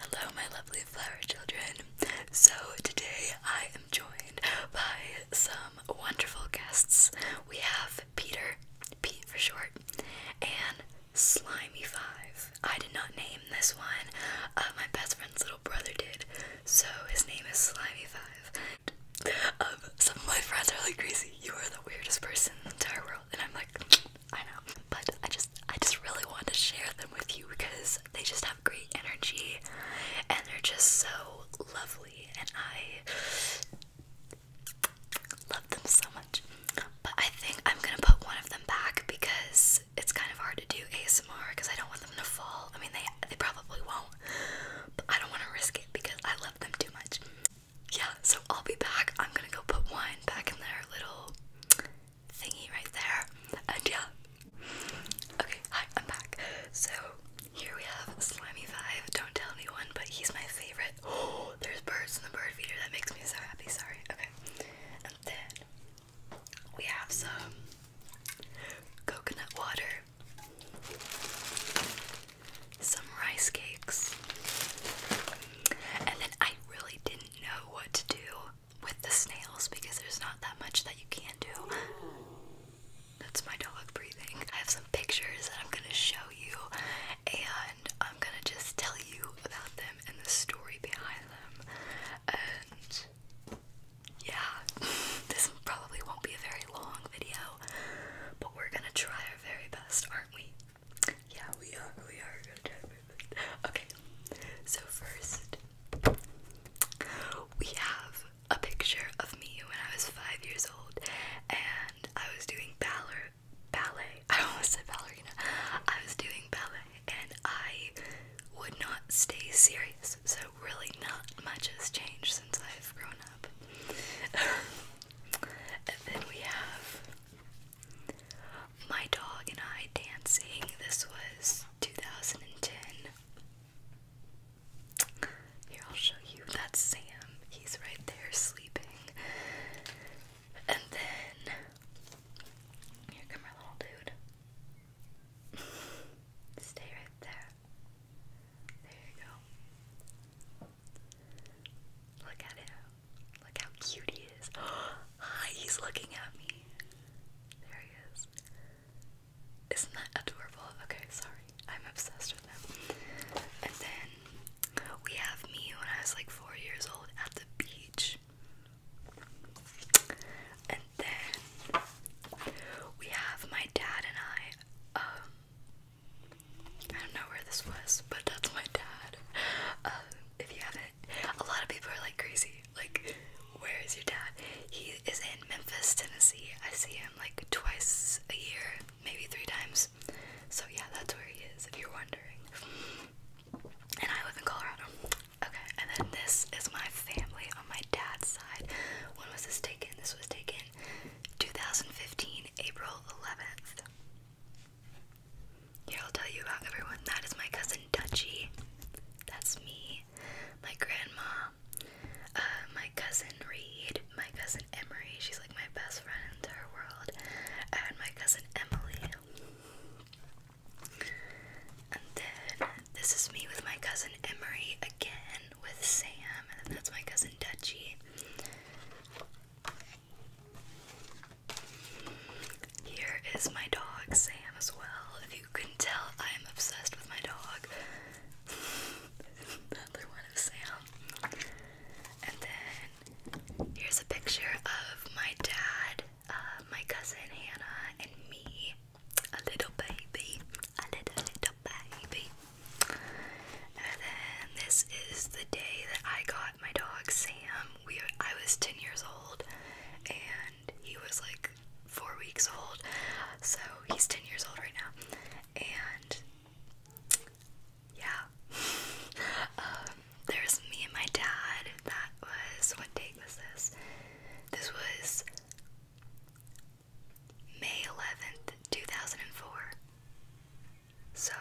Hello, my lovely flower children. So, today I am joined by some wonderful guests. We have Peter, Pete for short, and Slimy5. I did not name this one, uh, my best friend's little brother did, so his name is Slimy5. Um, some of my friends are like crazy. You are the weirdest person in the entire world and I'm like I know but I just I just really want to share them with you because they just have great energy and they're just so lovely and I love them so much but I think I'm gonna put one of them back because it's kind of hard to do ASMR because I don't want them to fall I mean they they probably won't but I don't want to risk it because I love them too much yeah, so I'll be back. I'm gonna go put wine back in their little thingy right there. And yeah. Okay, hi, I'm back. So here we have Slimy Five. Don't tell anyone, but he's my favorite. Oh, there's birds in the bird feeder. That makes me so happy. Sorry. Okay. And then we have some coconut water some rice cakes. And then I really didn't know what to do with the snails because there's not that much that you can do. That's my dog breathing. I have some pictures that I'm gonna show you and I'm gonna just tell you about them and the story behind them. And yeah, this probably won't be a very long video, but we're gonna try our very best, aren't we? Yeah, we are. We are Okay. So first, we have a picture of me when I was five years old, and I was doing ballet. Ballet. I almost said ballerina. I was doing ballet, and I would not stay serious. So really, not much has changed since I've grown up. And then we have My Dog and I Dancing. This was 2010. Here, I'll show you. That's Sam. He's right there sleeping. And then, here come our little dude. Stay right there. There you go. Look at him. Look how cute he is. Hi, ah, he's looking at me. There he is. Isn't that adorable? Okay, sorry. I'm obsessed with him. And then we have me when I was like four years old at the beach. And then we have my dad and I. Um, I don't know where this was, but that's my dad. Um, if you haven't, a lot of people are like crazy. Like, where is your dad? He is in Memphis, Tennessee. I see him like twice a year, maybe three times. So, yeah, that's where he is, if you're wondering. And I live in Colorado. Okay, and then this is my family on my dad's side. When was this taken? This was taken 2015, April 11th. Here, I'll tell you about everyone. That is my cousin Dutchie. That's me. My grandma. Uh, my cousin Reed. My cousin Emery. She's like my best friend in the world. And my cousin Emily. And then this is me with my cousin Emery again with Sam, and that's my cousin Dutchie. Here is my dog, Sam, as well. If you can tell, I am obsessed with my dog. Another one of Sam. And then here's a picture of my dad, uh, my cousin Hannah, and me a little baby, a little little baby. And then this is the day that I got my dog Sam. We I was ten years old, and he was like four weeks old. So he's ten years old right now, and yeah. um, there's me and my dad. That was what date was this? This was May 11th, 2004. So,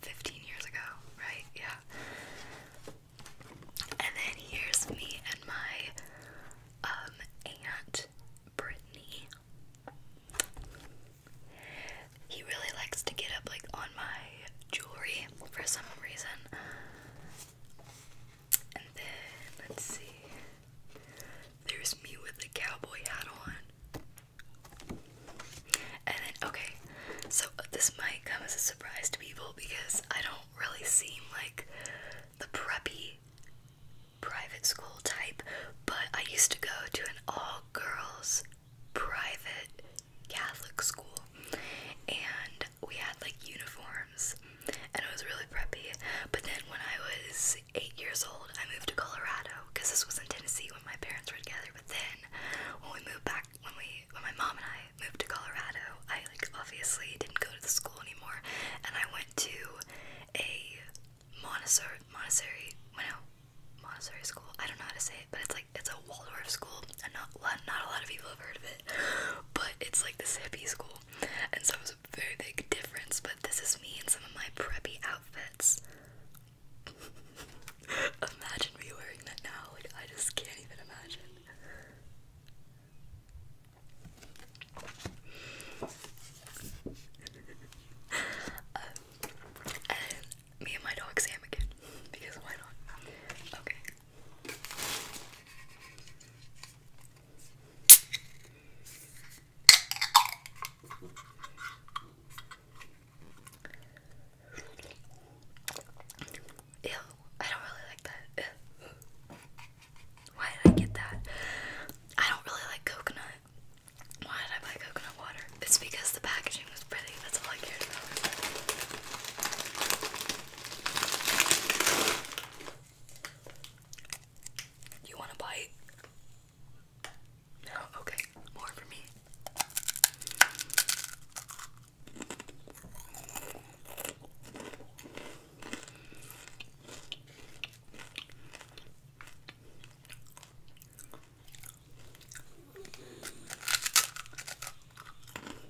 15 years ago, right? Yeah. And then here's me and my um, aunt, Brittany. He really likes to get up like on my jewelry for some reason. And then let's see. There's me with the cowboy hat on. And then okay, so uh, this might come as a surprise to people because I don't really seem like the preppy private school type, but I used to go to an all girls private Catholic school and we had like uniforms farms and it was really preppy. But then when I was eight years old, I moved to Colorado because this was in Tennessee when my parents were together. But then when we moved back, when we, when my mom and I moved to Colorado, I like obviously didn't go to the school anymore, and I went to a Montessori, Montessori, well, no, Montessori school. I don't know how to say it, but it's like it's a Waldorf school, and not not a lot of people have heard of it. but it's like this hippie school, and so it was a very big difference. But this is me in some of my preppy outfits. imagine me wearing that now, like, I just can't even imagine. Um, and me and my dog Sam again, because why not? Okay. Ew, I don't really like that. Why did I get that? I don't really like coconut. Why did I buy coconut water? It's because the packaging was pretty. That's all I cared about. You want a bite? No, okay, more for me.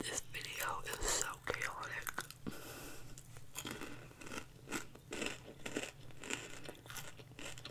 This video is so chaotic.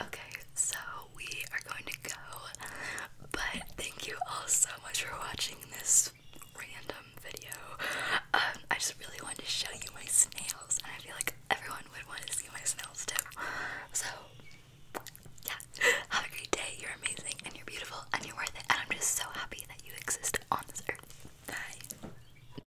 Okay, so we are going to go. But thank you all so much for watching this random video. Um, I just really wanted to show you my snails, and I feel like everyone would want to see my snails too. So, yeah, have a great day. You're amazing, and you're beautiful, and you're worth it. And I'm just so happy that you exist on this earth. Bye.